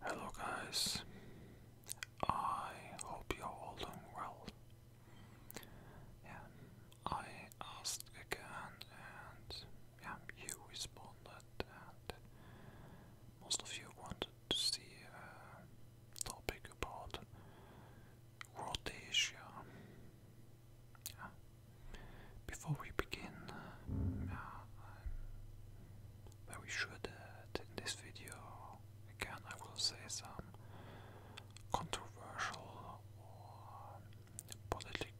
Hello, guys. I hope you're all doing well. I asked again, and you responded, and most of you wanted to see a topic about Rhodesia. Yeah, before we begin, uh, very um, sure that uh, in this video, again, I will say some controversial or politically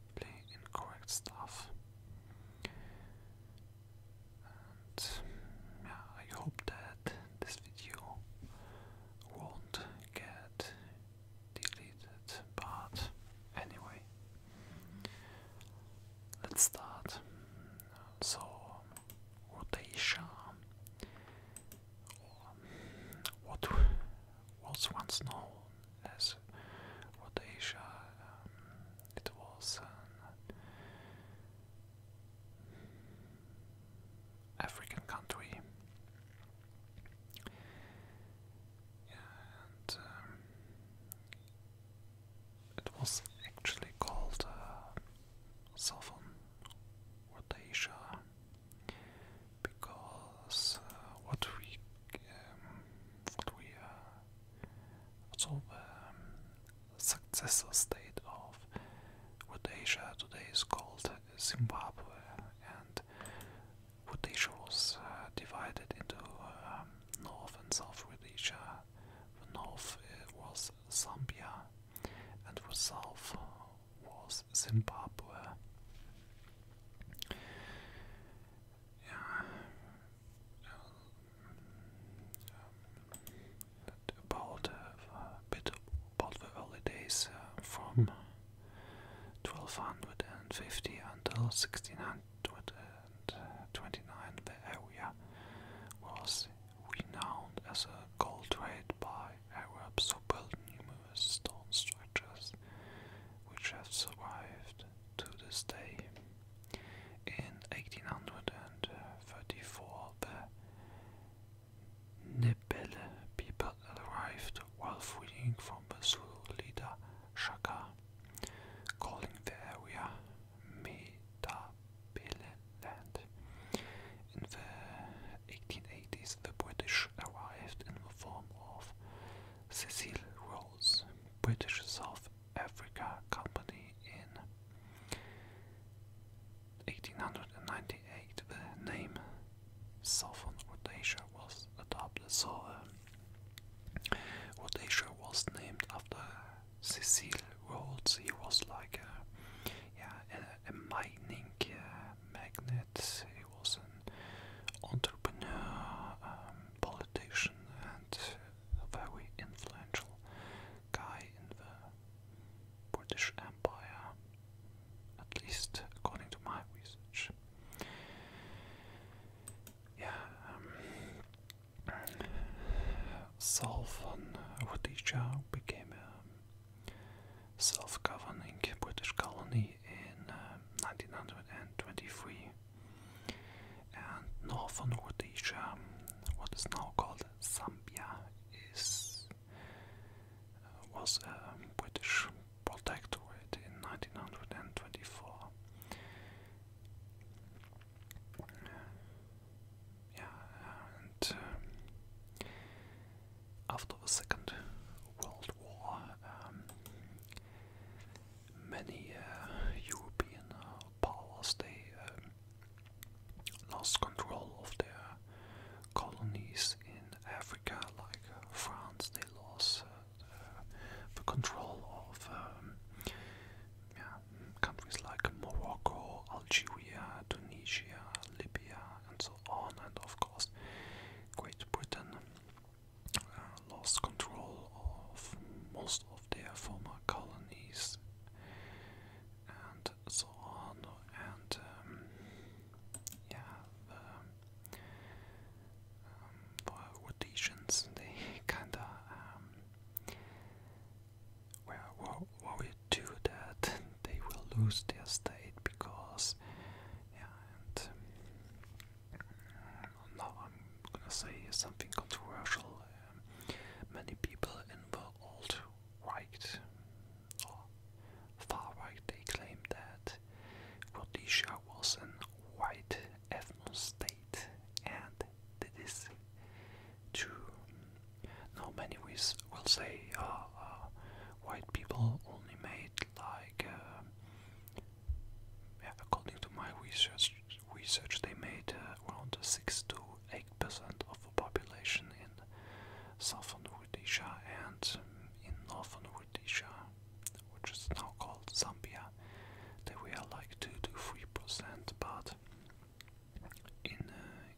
incorrect stuff. And yeah, I hope that this video won't get deleted, but anyway, Let's start. So, Rhodesia what was once known as Rhodesia, um, it was an um, African country um, it was actually called uh, Southern Rhodesia because uh, what we um, what we uh, so um, successor state of Rhodesia today is called Zimbabwe and Rhodesia was uh, divided into um, North and South Rhodesia. The north uh, was Zambia, and the south was Zimbabwe. Yeah. Um, about uh, a bit about the early days from 1250 until 1629, the area was renowned as a gold trade by Arabs who built numerous stone structures which have survived to this day. In 1834, the Nebele people arrived while fleeing from the Zulu leader Shaka, calling the area Medabeleland. In the 1880s, the British arrived in the form of Cecil Rose, British South Africa Company in 1898. The name southern Rhodesia was adopted. So um, was named after Cecil Rhodes. He was like a, yeah, a, mining uh, magnate. He was an entrepreneur, um, politician, and a very influential guy in the British Empire. At least according to my research. Yeah, um, Southern Rhodesia became a um, self-governing British colony in 1923, um, and Northern Rhodesia, what is now called Zambia, is uh, was a um, British it in 1924. yeah, and um, after the Second World War, um, many uh, European uh, powers they um, lost control of their colonies in Africa like uh, France, they lost uh, the, control of um, countries like Morocco, Algeria, Tunisia, Libya, and so on. And of course, Great Britain uh, lost control of most of their former colonies and so on. And um, yeah, um, the rotations they kinda um, well what, we do that they will lose their state because um, now I'm gonna say something controversial um, many people in the old right Far right, they claim that Rhodesia was a white ethno state, and this is true. Now, many will say uh, uh, white people only made like, uh, according to my research, research they made uh, around six to eight percent of the population in southern Rhodesia and um, in northern Rhodesia, which is now called Zambia, they were like 2 to 3%, but in, uh,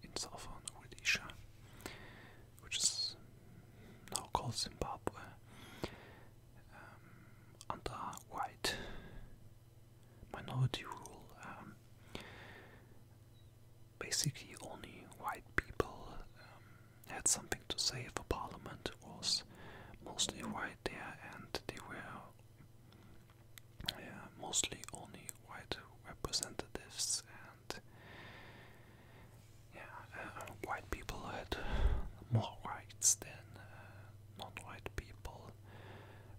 in southern Rhodesia, which is now called Zimbabwe, um, under white minority rule, um, basically only white people had something to say for Parliament was mostly white there, and they were mostly only white representatives, and yeah, uh, white people had more rights than uh, non-white people.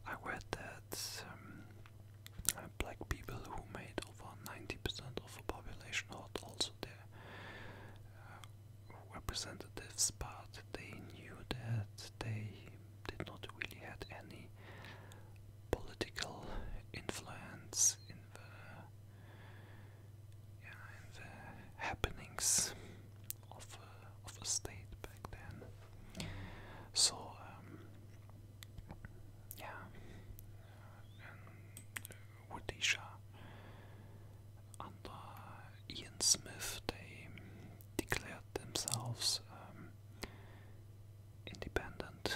I read that um, black people who made that 90% of the population had also their uh, representatives, but they knew that they did not really had any political influence in the, happenings of a, uh, of a state back then. So, um, yeah, and uh, Rhodesia. Ian Smith, they declared themselves um, independent.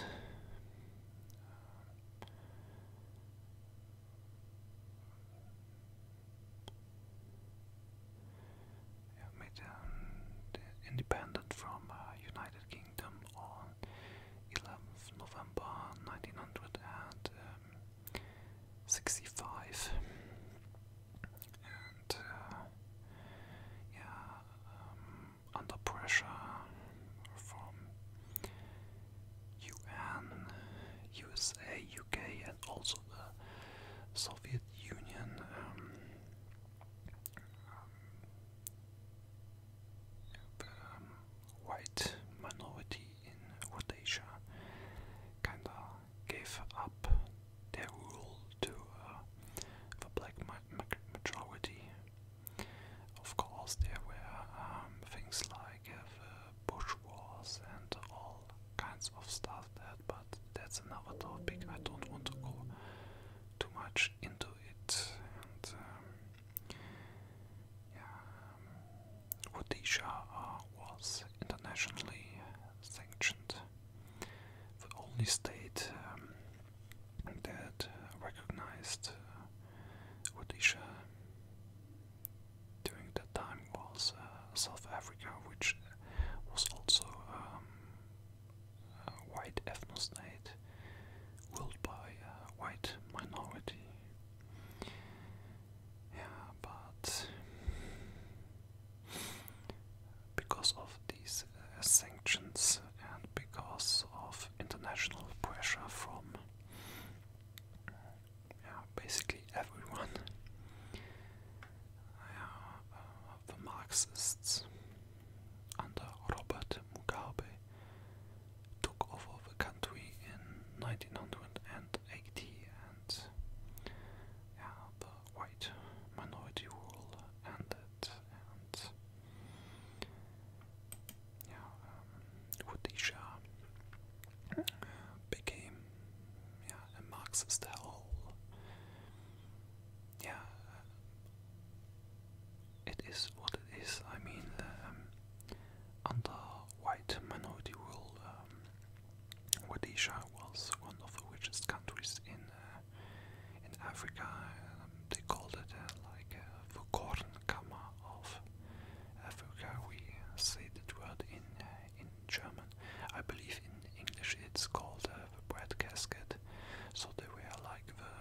made um, independent from uh, United Kingdom on 11th November 1965. And um, uh, yeah, um, under pressure from UN, USA, UK, and also the Soviet Union. Um, um, white minority in Rhodesia kinda gave up their rule to uh, the black majority. Of course, there were um, things like uh, Bush Wars and all kinds of stuff but that's another topic. I don't want to go too much into it. Um, um, Rhodesia uh, was internationally sanctioned, the only state um, that recognized uh, Rhodesia during that time was uh, South Africa, which was also um, uh, white ethnostate ruled by a uh, white minority. Yeah, but because of these uh, sanctions and because of international pressure from yeah, basically everyone, yeah, uh, the Marxists and Robert Mugabe took over the country in 1980 and the white minority rule ended and yeah, um, Rhodesia uh, became a Marxist style Yeah, it is what it is. I mean, um, under white minority rule, um, Rhodesia was one of the richest countries in uh, in Africa. Um, they called it uh, like uh, the Gordon Kammer of Africa. We say that word in uh, in German. I believe in English it's called the bread casket. So they were like the,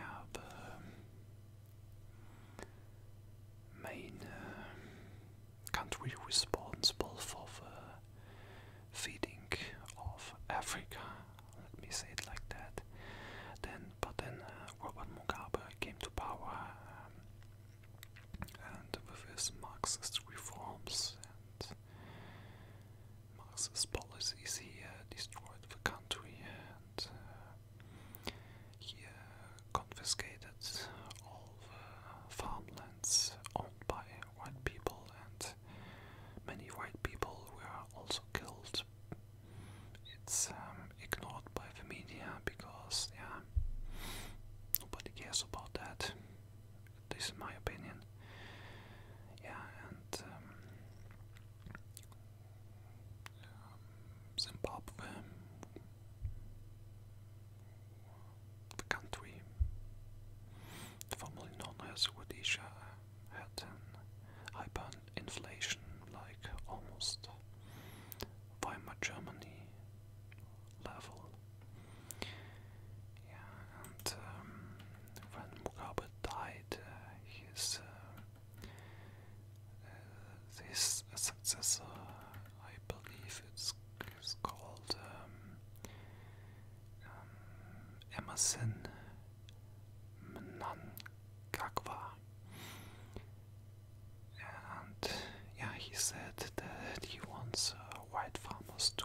um, um, main uh, country responsible for the feeding of Africa. Let me say it like that. Then, but then uh, Robert Mugabe came to power, um, and with his Marxist reforms and Marxist policies here uh, destroyed the country and uh, here uh, confiscated all the farmlands owned by white people and many white people were also killed. It's um, ignored by the media because, yeah, nobody cares about that. This is my opinion. Yeah, and um, um, Zimbabwe, the country formerly known as Rhodesia, had an hyperinflation like almost Weimar Germany level and um, when Mugabe died, uh, his uh, uh, his successor, I believe it's, it's called um, um, Emerson And yeah, he said that he wants white farmers to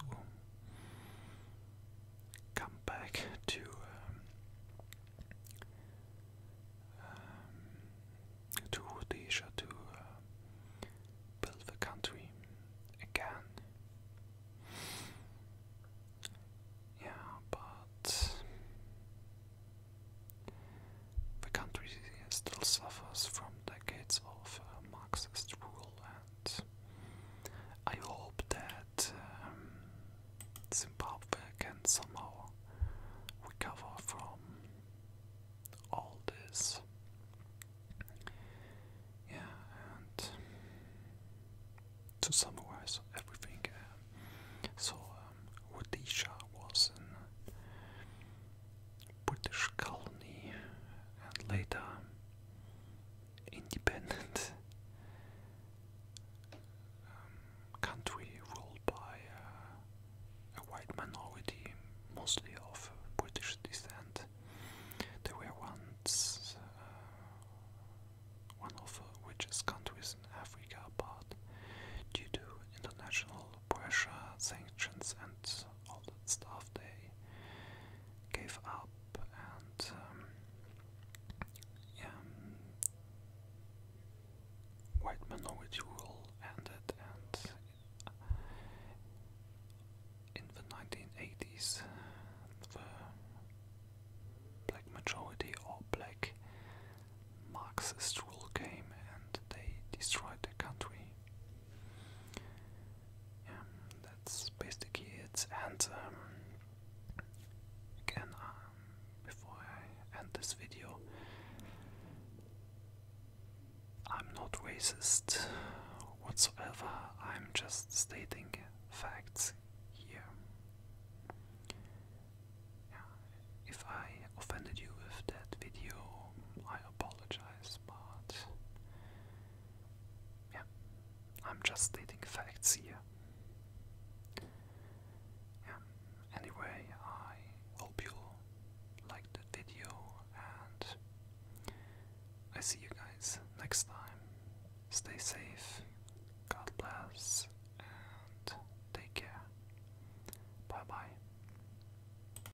come back to um, um, to Rhodesia to uh, build the country again. Yeah, but the country still suffers from decades of uh, Marxist rule I hope that um, Zimbabwe can somehow recover from all this. Yeah, and to summarize everything, uh, so um, Rhodesia was a British colony, and later independent um, country ruled by uh, a white minority, mostly of British descent. They were once uh, one of the richest countries in Africa, but due to international pressure, sanctions, and all that stuff they gave up and um, white minority rule ended and in the 1980s the black majority or black Marxist rule came and they destroyed the country yeah, that's basically it. And um, again, um, before I end this video, I'm not racist whatsoever. I'm just stating facts here. if I offended you with that video, I apologize size Yeah, I'm just stating facts here. Yeah, anyway, I hope you liked the video and I see you guys next time. Stay safe, God bless, and take care. Bye bye.